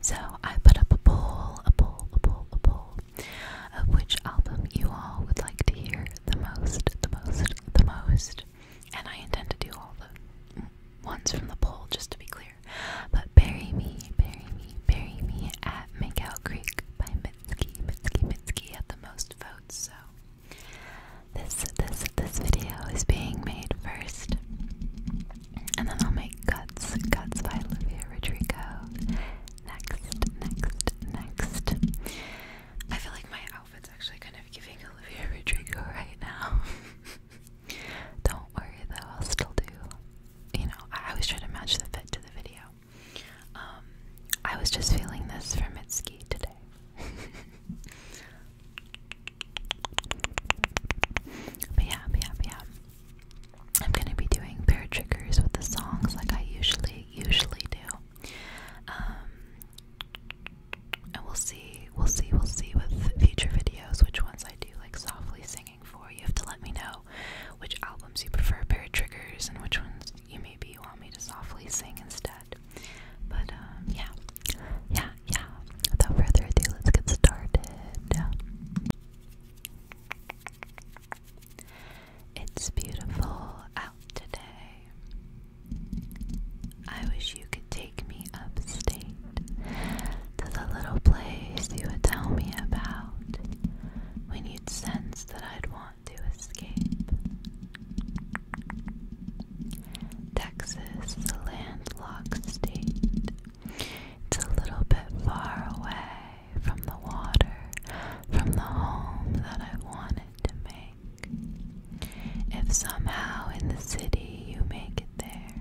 so I put up a poll, a poll, a poll, a poll, of which album you all would like to hear the most, the most, the most. And I intend to do all the ones from the poll, just to be clear. But bury me, bury me, bury me at Makeout Creek by Minsky, Minsky, Minsky had the most votes, so this this this video is being made first. And then I'll make cuts, cuts by Olivia Rodrigo. Next, next, next. I feel like my outfit's actually kind of giving Olivia Rodrigo right now. Don't worry though, I'll still do you know, I always try to match the fit to the video. Um, I was just feeling this for Mitski today. but yeah, yeah, yeah. I'm gonna be doing pair triggers with the songs like I usually usually do. Um and we'll see, we'll see, we'll see with future videos which ones I do like softly singing for. You have to let me know which albums you prefer a pair of triggers and which ones you maybe you want me to softly sing instead. But um yeah. Yeah, yeah. Without further ado, let's get started. It's beautiful out today. I wish you could take me upstate to the little place you would tell me about when you'd sense that I'd want to escape. Texas is a landlocked state. It's a little bit far away from the water, from the home that I wanted to make. If somehow in the city you make it there,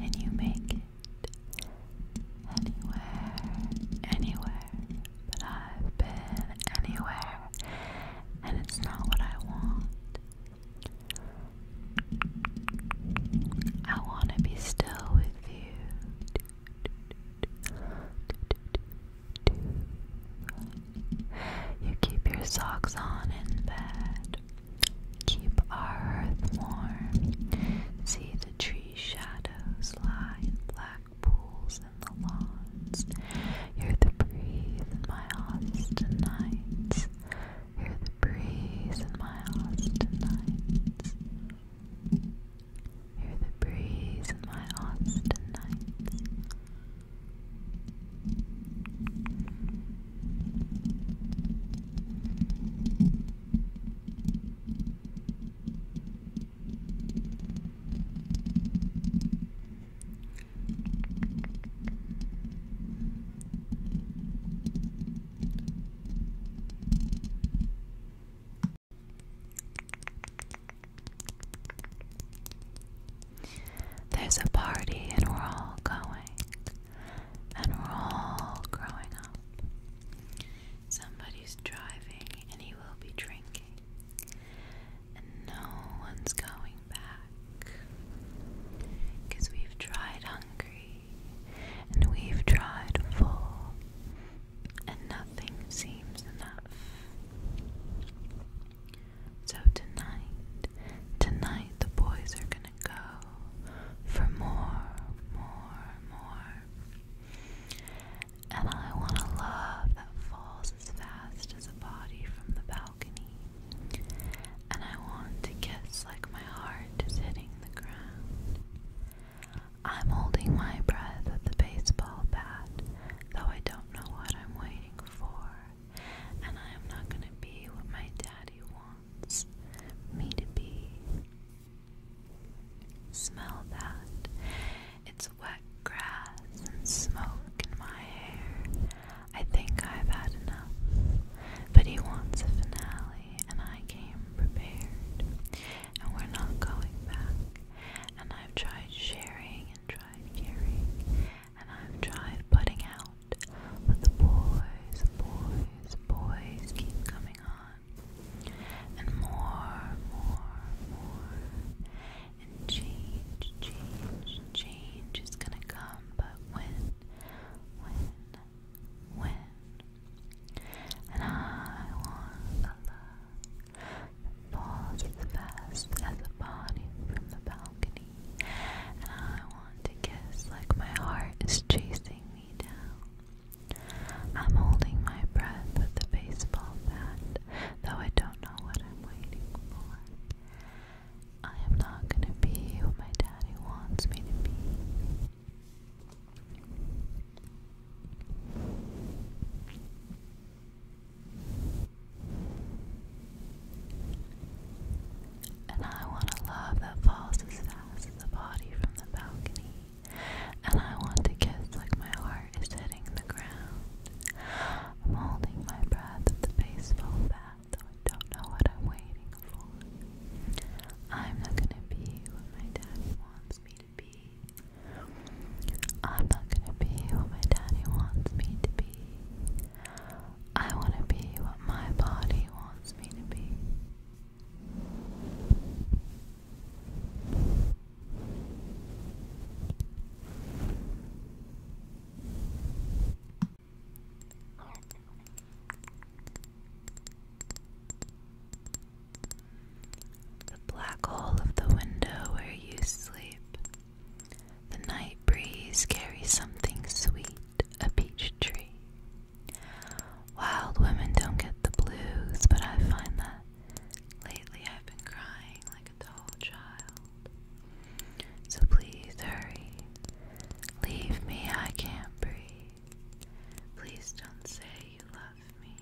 and you make it, anywhere, anywhere, but I've been anywhere, and it's not what I want. I want to be still with you. You keep your socks on in bed. Keep our earth warm. See the tree shadows lie and flash back pools in the lawns. You're the breeze in my Austin nights. Hear the breeze in my Austin nights. Hear the breeze in my Austin nights. There's a party, and we're all going, and we're all growing up. Somebody's driving and he will be drinking. And no one's going back. Because we've tried hungry and we've tried full, and nothing seems enough. So tonight, tonight the boys are gonna go for more, more, more and I want a love that falls as fast as a body from the balcony. And I want to guess like my heart is hitting the ground. I'm holding my breath at the baseball bat, though I don't know what I'm waiting for. And I am not going to be what my daddy wants me to be. Smell that. It's wet grass and smoke in my hair. I think I've had enough. But he wants a finale, and I came prepared. And we're not going back. And I've tried sharing and tried caring. And I've tried putting out. But the boys, boys, boys keep coming on and more, more, more. And change, change, change is gonna come, but when, when, when? And I want a love that falls as fast as a body from the balcony. And I want to kiss like my heart is chasing me down. I'm holding my breath with the baseball bat, though I don't know what I'm waiting for. I am not gonna be what my daddy wants me to be. And I want a love that falls as fast as a body from the balcony and I want to kiss like my heart is hitting the ground. I'm holding my breath at the baseball bat, though I don't know what I'm waiting for. I'm not gonna be what my daddy wants me to be. I'm not gonna be what my daddy wants me to be. I wanna be what my body wants me to be. The black hole of the window where you sleep. The night breeze carries something sweet, a peach tree, Wild women don't get the blues, but I find that lately I've been crying like a child. So please hurry. Leave me, I can't breathe. Please don't say you love me.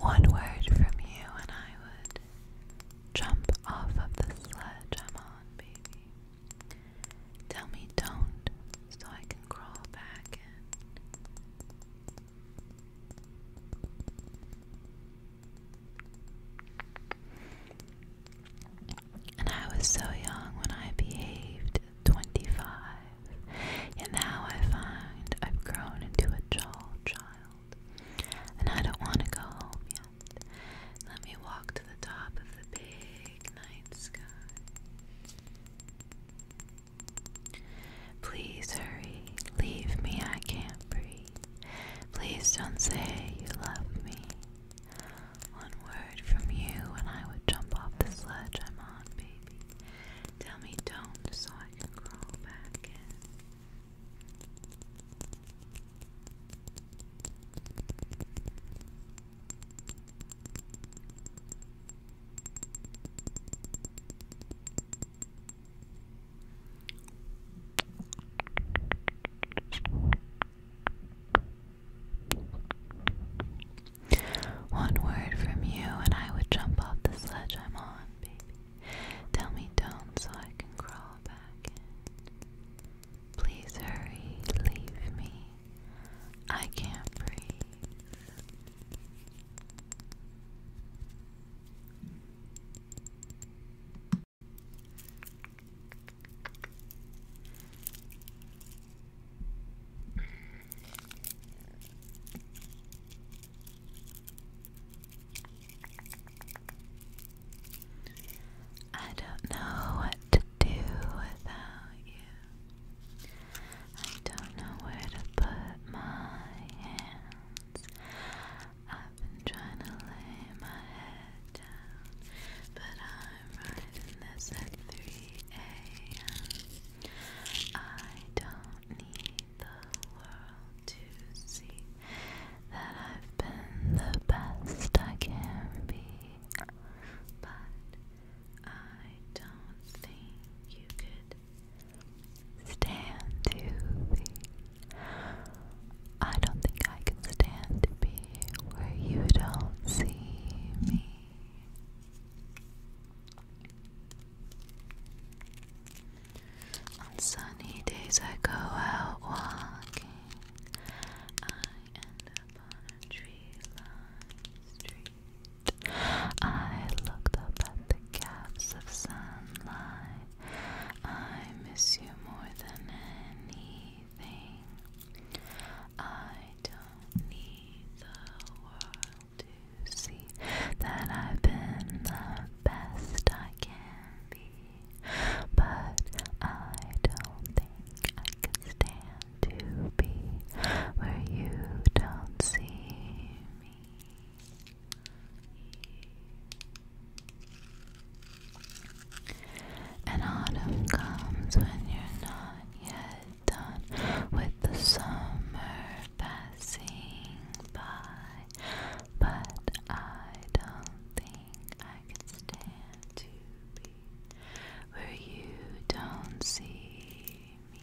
One word from you, and I would jump off of the sled. i on, baby. Tell me don't, so I can crawl back in. And I was so young when I behaved 25, yet now I find I've grown into a dull child, and I don't want to go home yet. Let me walk to the top of the big Please hurry, leave me, I can't breathe. Please don't say you love me. One word from you, and I would jump off the sledge I'm on, baby. Tell me don't, so I can crawl back in. One word from you, and I would jump off the sledge I'm on, baby. Tell me don't, so I can crawl back Please hurry, leave me. I can't breathe. I don't know what do without you. I don't know where to put my hands. I've been trying to lay my head down, but I'm writing this at 3 a.m. I don't need the world to see that I've been the best I can be, but I don't think you could stand to I don't think I can stand to be where you don't see me. On sunny days, I go out walking. I looked up at the gaps of sunlight. I miss you more than anything. I don't need the world to see that I've been the best I can be. But I don't think I could stand to be where you don't see me. And autumn comes when you're not yet done with the summer passing by, but I don't think I can stand to be where you don't see me.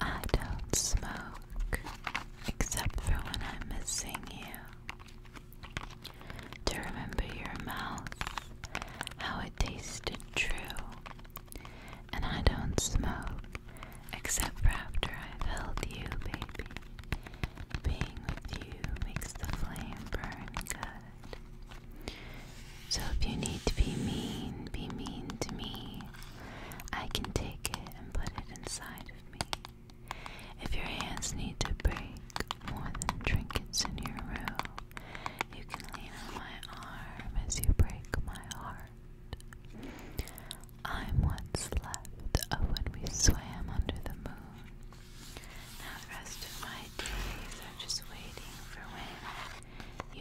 I don't smoke except for when I'm missing you. To remember your mouth, how it tasted, true. And I don't smoke except for after I've held you, baby. Being with you makes the flame burn good. So if you need to be mean, be mean to me. I can take it and put it inside of me. If your hands need to break more than trinkets in your room, you can lean on my arm as you break my heart. I'm what's left of oh, when we swam under the moon. Now the rest of my days are just waiting for when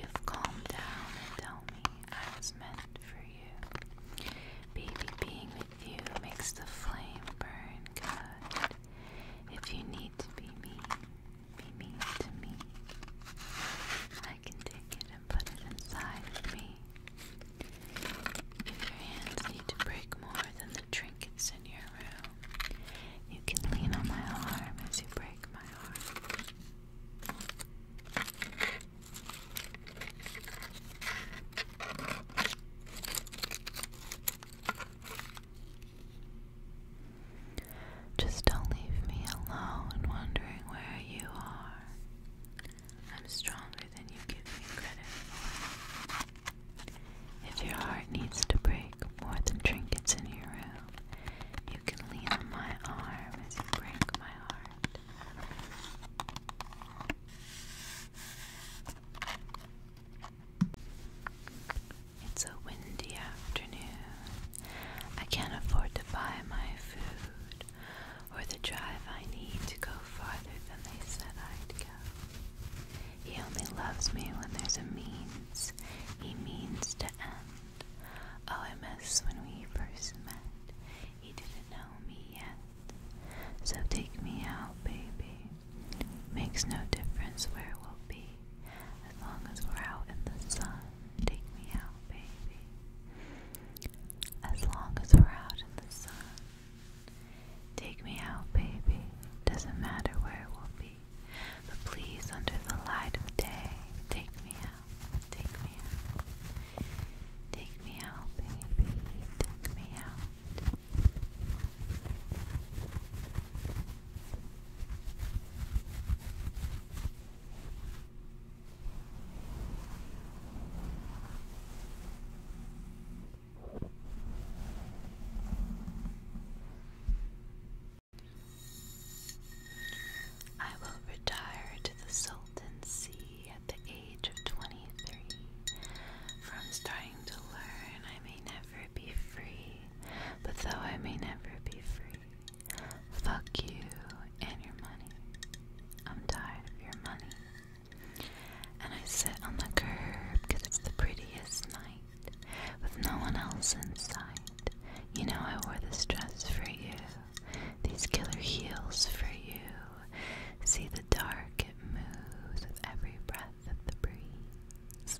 you've calmed down and tell me I was meant for you. Baby, being with you makes the flame burn good. If you need to be me be mean to me. I can take it and put it inside of me. If your hands need to break more than the trinkets in your room, you can lean on my arm as you break my arm. Just don't leave me alone wondering where you are. I'm stronger than you give me credit If your heart needs to break more than trinkets in your room, you can lean on my arm as you break my heart. It's a windy afternoon. I can't afford to buy my food or the drive I need to go farther than they said I'd go. He only loves me when there's a means. He means to end. Oh, I miss when we first met. He didn't know me yet. So take me out, baby. Makes no difference where we'll be, as long as we're out in the sun. Take me out, baby. As long as we're out in the sun. Take me out, baby. Doesn't matter where we'll be. But please, under the light of day, take me out. Take me out. Take me out, baby. Take me out. I will retire to the Sultancy at the age of 23. From starting to learn, I may never be free, but though I may never be free, fuck you and your money. I'm tired of your money. And I sit on the curb because it's the prettiest night with no one else in sight. You know, I wore this dress for you, these killer heels for you. See the dark, it moves with every breath of the breeze.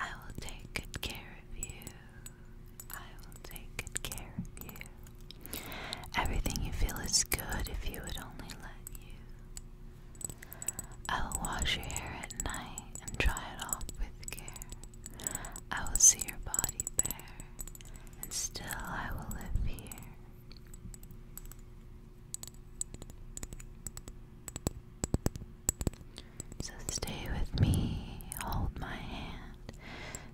I will take good care of you. I will take good care of you. Everything you feel is good if you would only let you. I will wash your hair at night and dry it off with care. I will see your body bare, and still I will live here. So stay with me, hold my hand.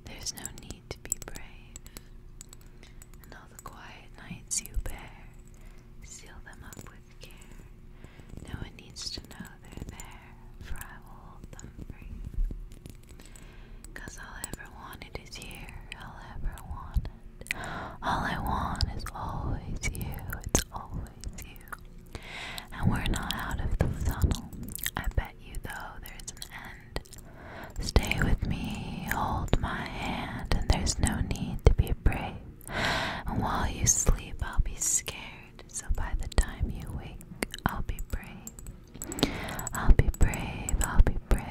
There's no need to be brave. And all the quiet nights you bear, seal them up with care. No one needs to know they're there, for I will hold them free. all I ever wanted is here, all I ever wanted. All I want is always you, it's always and we're not out of the tunnel. I bet you, though, there's an end. Stay with me, hold my hand, and there's no need to be brave. And while you sleep, I'll be scared. So by the time you wake, I'll be brave. I'll be brave, I'll be brave.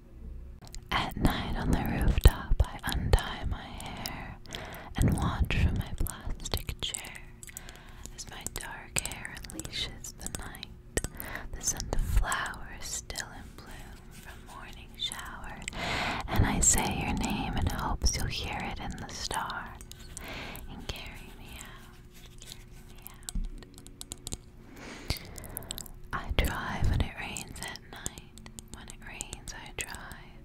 At night on the rooftop, I untie my hair and watch from my plastic chair as my dark hair unleashes the night. The scent of flowers still in bloom from morning shower, and I say your name in hopes you'll hear it in the stars and carry me out, carry me out. I drive when it rains at night. When it rains, I drive.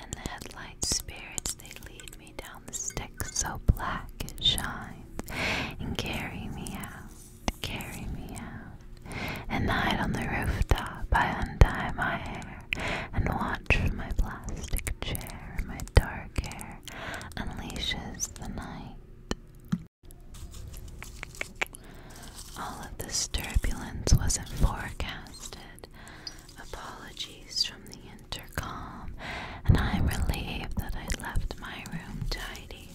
And the headlight spirits, they lead me down the stick so black it shines. And carry me out, carry me out. And night on the rooftop, I untie my hair and watch from my plastic chair. My dark hair unleashes the night. All of this turbulence wasn't forecasted. Apologies from the intercom, and I'm relieved that I left my room tidy.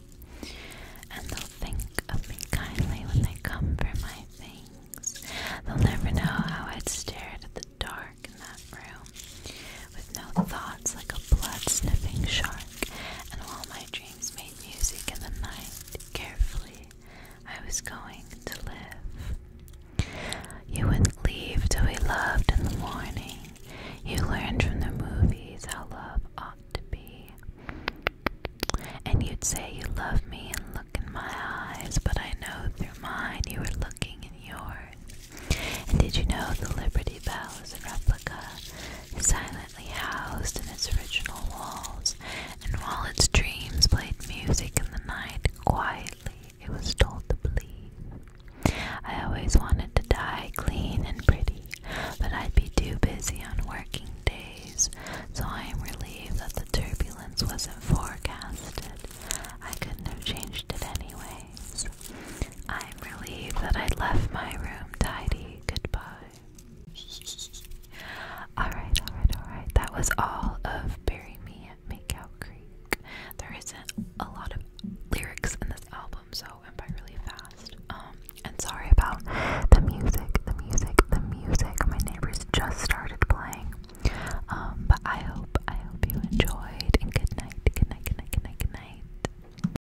And they'll think of me kindly when they come for my things. They'll never know how I'd stared at the dark in that room, with no thoughts like a blood sniffing shark, and while my dreams dreams made music in the night. Carefully, I was going to live. You wouldn't leave till we loved in the morning. You learned from the movies how love ought to be. And you'd say you love me and look in my eyes, but I know through mine you were looking in yours. And did you know the Liberty Bell is a replica? Silent silently housed in its original walls, and while its dreams played music in the night, quietly it was told to believe. I always wanted to die clean and pretty, but I'd be too busy on working days, so I am relieved that the turbulence wasn't forecasted. I couldn't have changed it anyways. I'm relieved that I left my room tidy. Goodbye. alright, alright, alright. That was all of Bury Me at Makeout Creek. There isn't a lot of lyrics in this album, so I'm by really fast. Um, and sorry about the music, the music, the music. My neighbors just started playing. Um, but I hope I hope you enjoyed and good night, good night, good night, good night, good night.